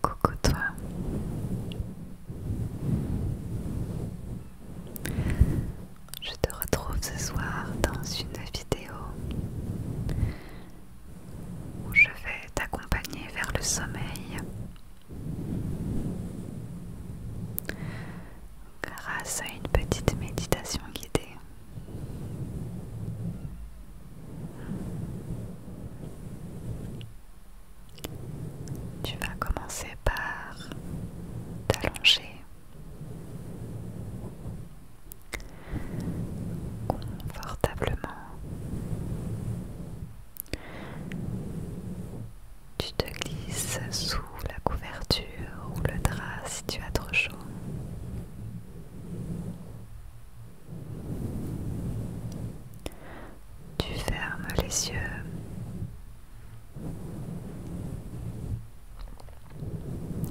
Coucou toi. Je te retrouve ce soir dans une vidéo où je vais t'accompagner vers le sommeil grâce à une petite méditation guidée. Tu vas commencer par t'allonger confortablement. Tu te glisses sous la couverture ou le drap tu as trop chaud. Tu fermes les yeux.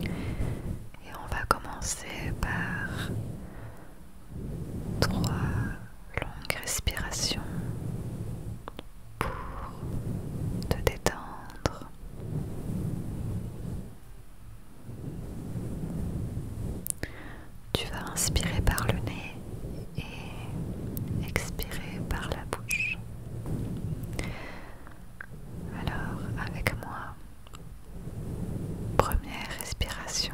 Et on va commencer par trois longues respirations pour te détendre tu vas inspirer par le nez et expirer par la bouche. Alors, avec moi, première respiration.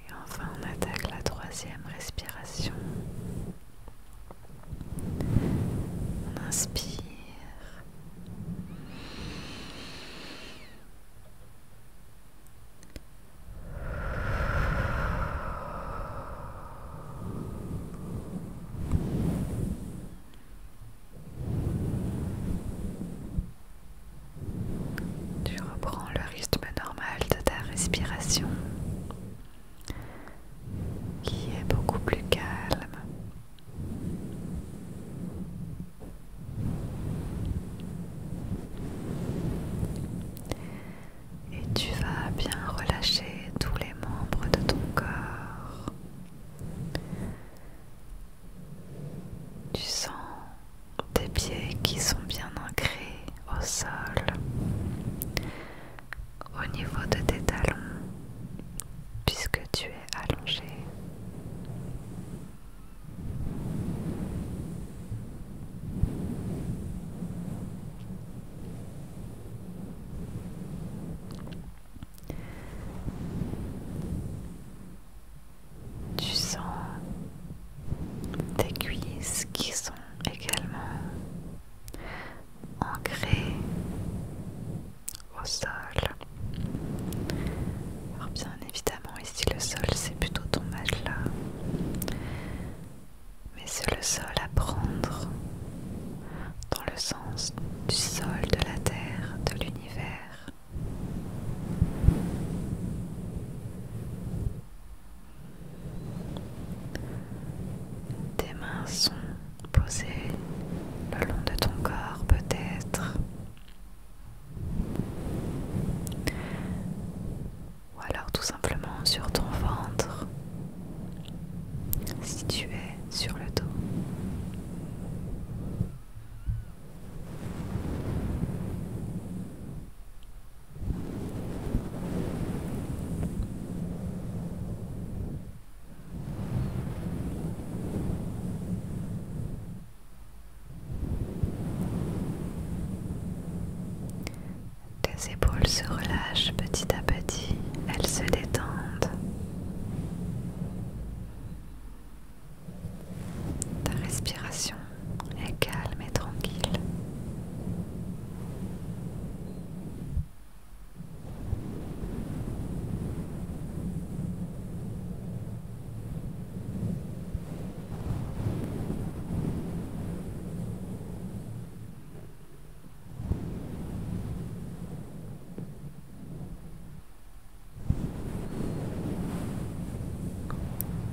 Et enfin, on attaque la troisième respiration. On inspire. Tu reprends le rythme normal de ta respiration qui est beaucoup plus calme et tu vas bien relâcher tous les membres de ton corps. Tu sens tes pieds qui sont bien ancrés au sol, au niveau de tes talons, puisque tu es allongé. Tu sens tes cuisses qui sont également ancrées au sol. Alors bien évidemment ici le sol c'est plutôt ton là mais c'est le sol à prendre dans le sens du sol, de la terre, de l'univers. Tes mains sont posées le long de ton corps peut-être ou alors tout simplement sur ton ventre si tu es sur le dos. Tes épaules se relâchent petit à petit, elles se détendent. Ta respiration est calme et tranquille.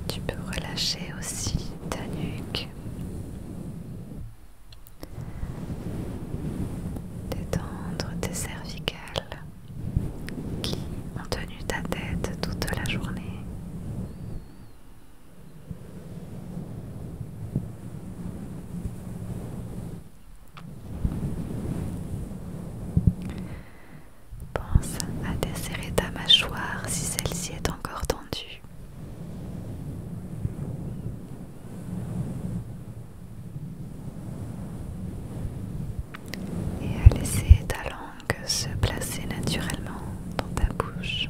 Tu peux relâcher aussi ta nuque, détendre tes cervicales qui ont tenu ta tête toute la journée. Pense à desserrer ta mâchoire si celle-ci est encore tendue. Et à laisser ta langue se placer naturellement dans ta bouche.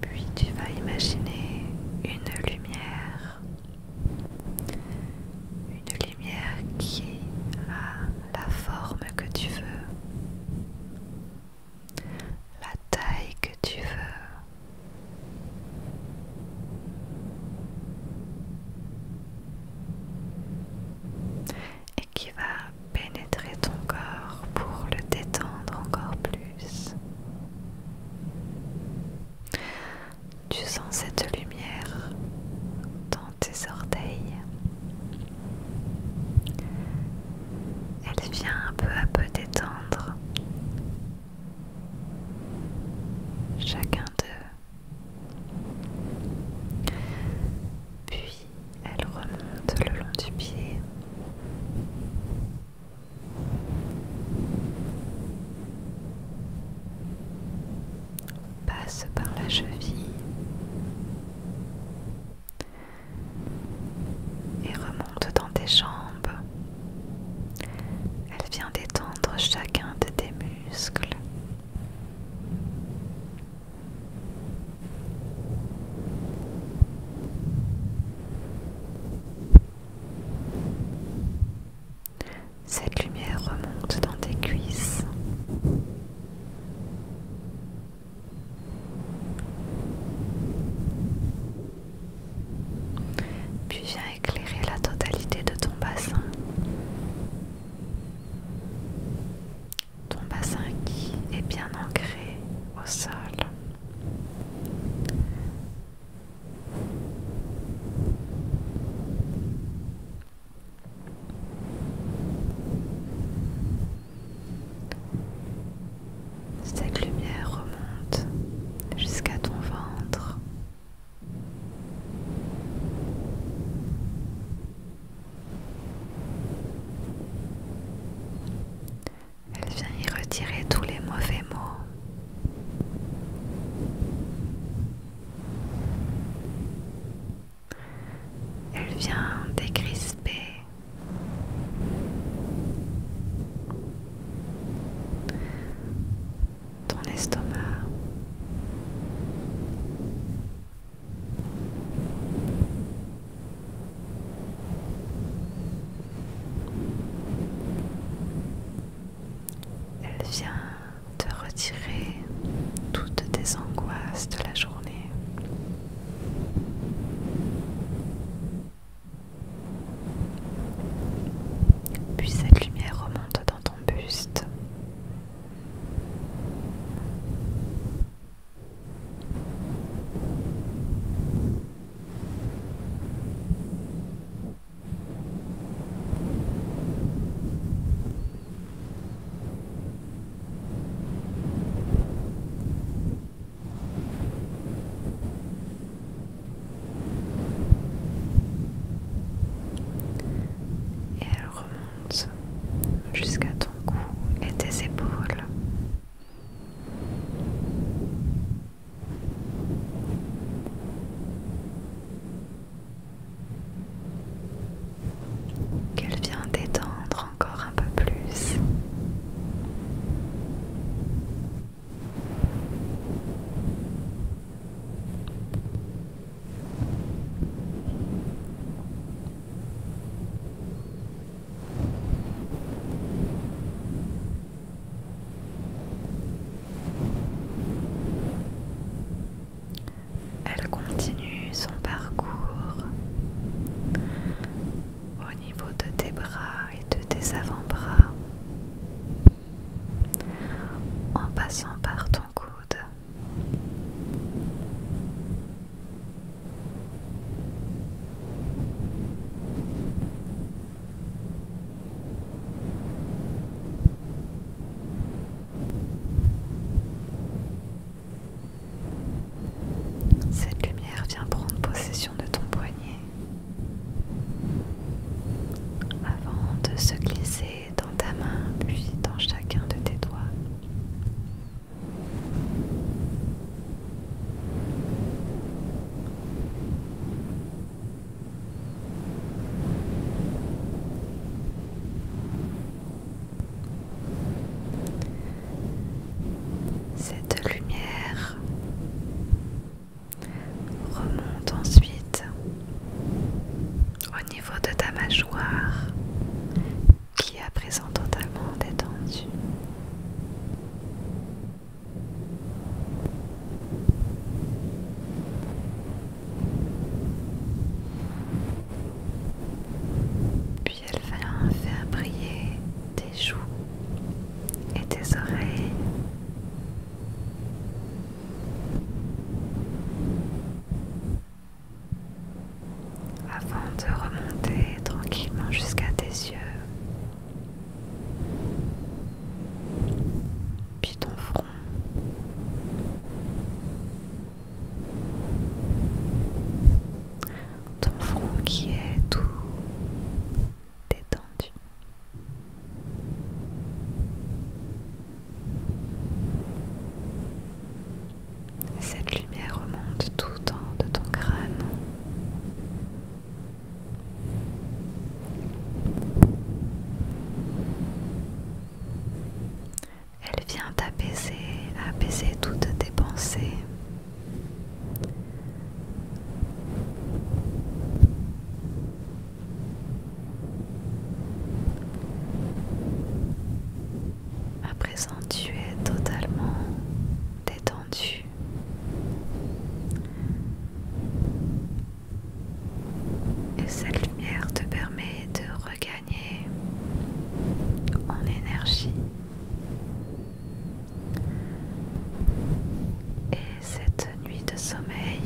Puis tu vas imaginer une lumière, une lumière qui a la forme que tu veux, la taille que tu veux, et qui va pénétrer ton corps pour le détendre encore plus. Tu sens cette lumière dans tes orteils. Elle vient un peu à peu détendre chacun d'eux. Puis elle remonte le long du pied passe par la cheville et remonte dans tes jambes. Elle vient détendre chacun de tes muscles. Cette lumière remonte dans tes cuisses. Puis viens éclairer la totalité de ton bassin. Ton bassin qui est bien ancré au sol. Cette lumière remonte jusqu'à ton ventre. Elle vient y retirer tous les mauvais mots. Elle vient décrisper. Ton estomac. Elle vient te retirer toutes tes angoisses de la journée. Puis cette lumière remonte dans ton buste. Et elle remonte jusqu'à ton cou et tes épaules qu'elle vient d'étendre encore un peu plus. Elle continue son parcours au niveau de tes bras et de tes avant-bras en passant par ton coude. Cette lumière vient prendre possession de ton poignet avant de se glisser dans ta main puis dans chacun de tes doigts. Cette lumière remonte ensuite au niveau de ta mâchoire qui est à présent totalement détendue. Puis elle vient faire briller tes joues et tes oreilles. Avant de remonter tranquillement jusqu'à tes yeux puis ton front. Ton front qui est tout détendu. Cette lumière remonte tout en de ton crâne elle vient t'apaiser, apaiser toutes tes pensées. À présent, tu es totalement détendu. Et cette lumière te permet de regagner en énergie. Et cette nuit de sommeil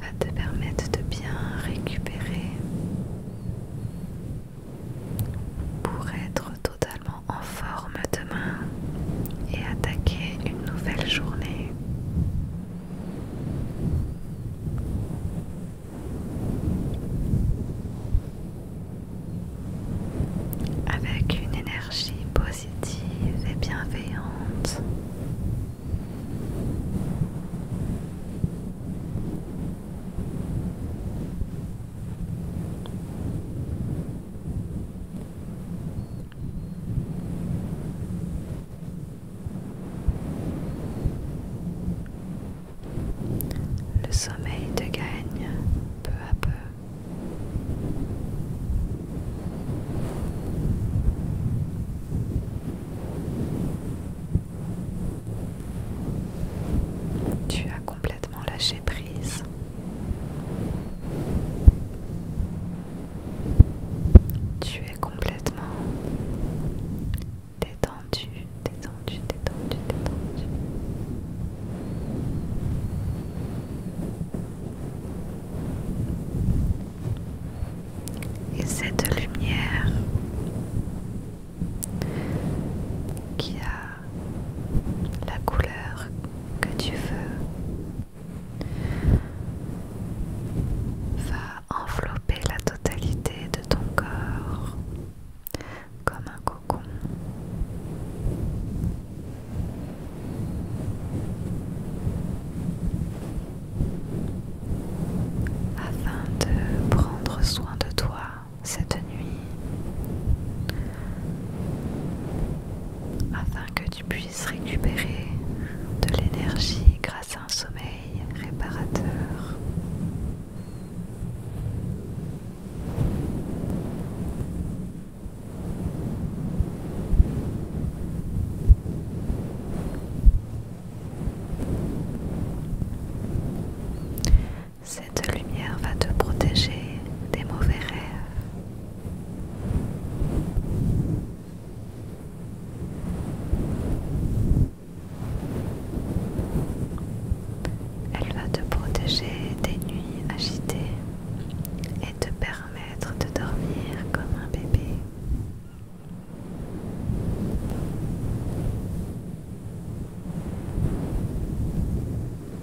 va te permettre de bien récupérer pour être totalement en forme demain et attaquer une nouvelle journée. Avec une énergie positive et bienveillante. Le sommeil te gagne peu à peu. Tu complètement lâcher prise. Tu es complètement détendu, détendu, détendu, détendu. Et cette lumière qui a la couleur que tu veux va envelopper la totalité de ton corps comme un cocon. Afin de prendre soin de toi cette nuit afin que tu puisses récupérer de l'énergie grâce à un sommeil réparateur. Cette lumière va te protéger des mauvais rêves. Elle va te protéger des nuits agitées et te permettre de dormir comme un bébé.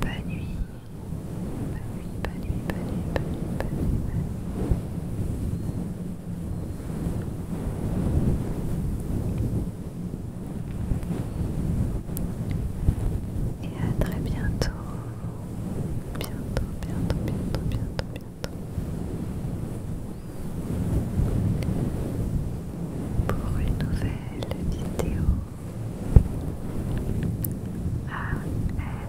Pas nuit. nuit, nuit. Et à très bientôt. Bientôt, bientôt, bientôt, bientôt, bientôt. Pour une nouvelle vidéo.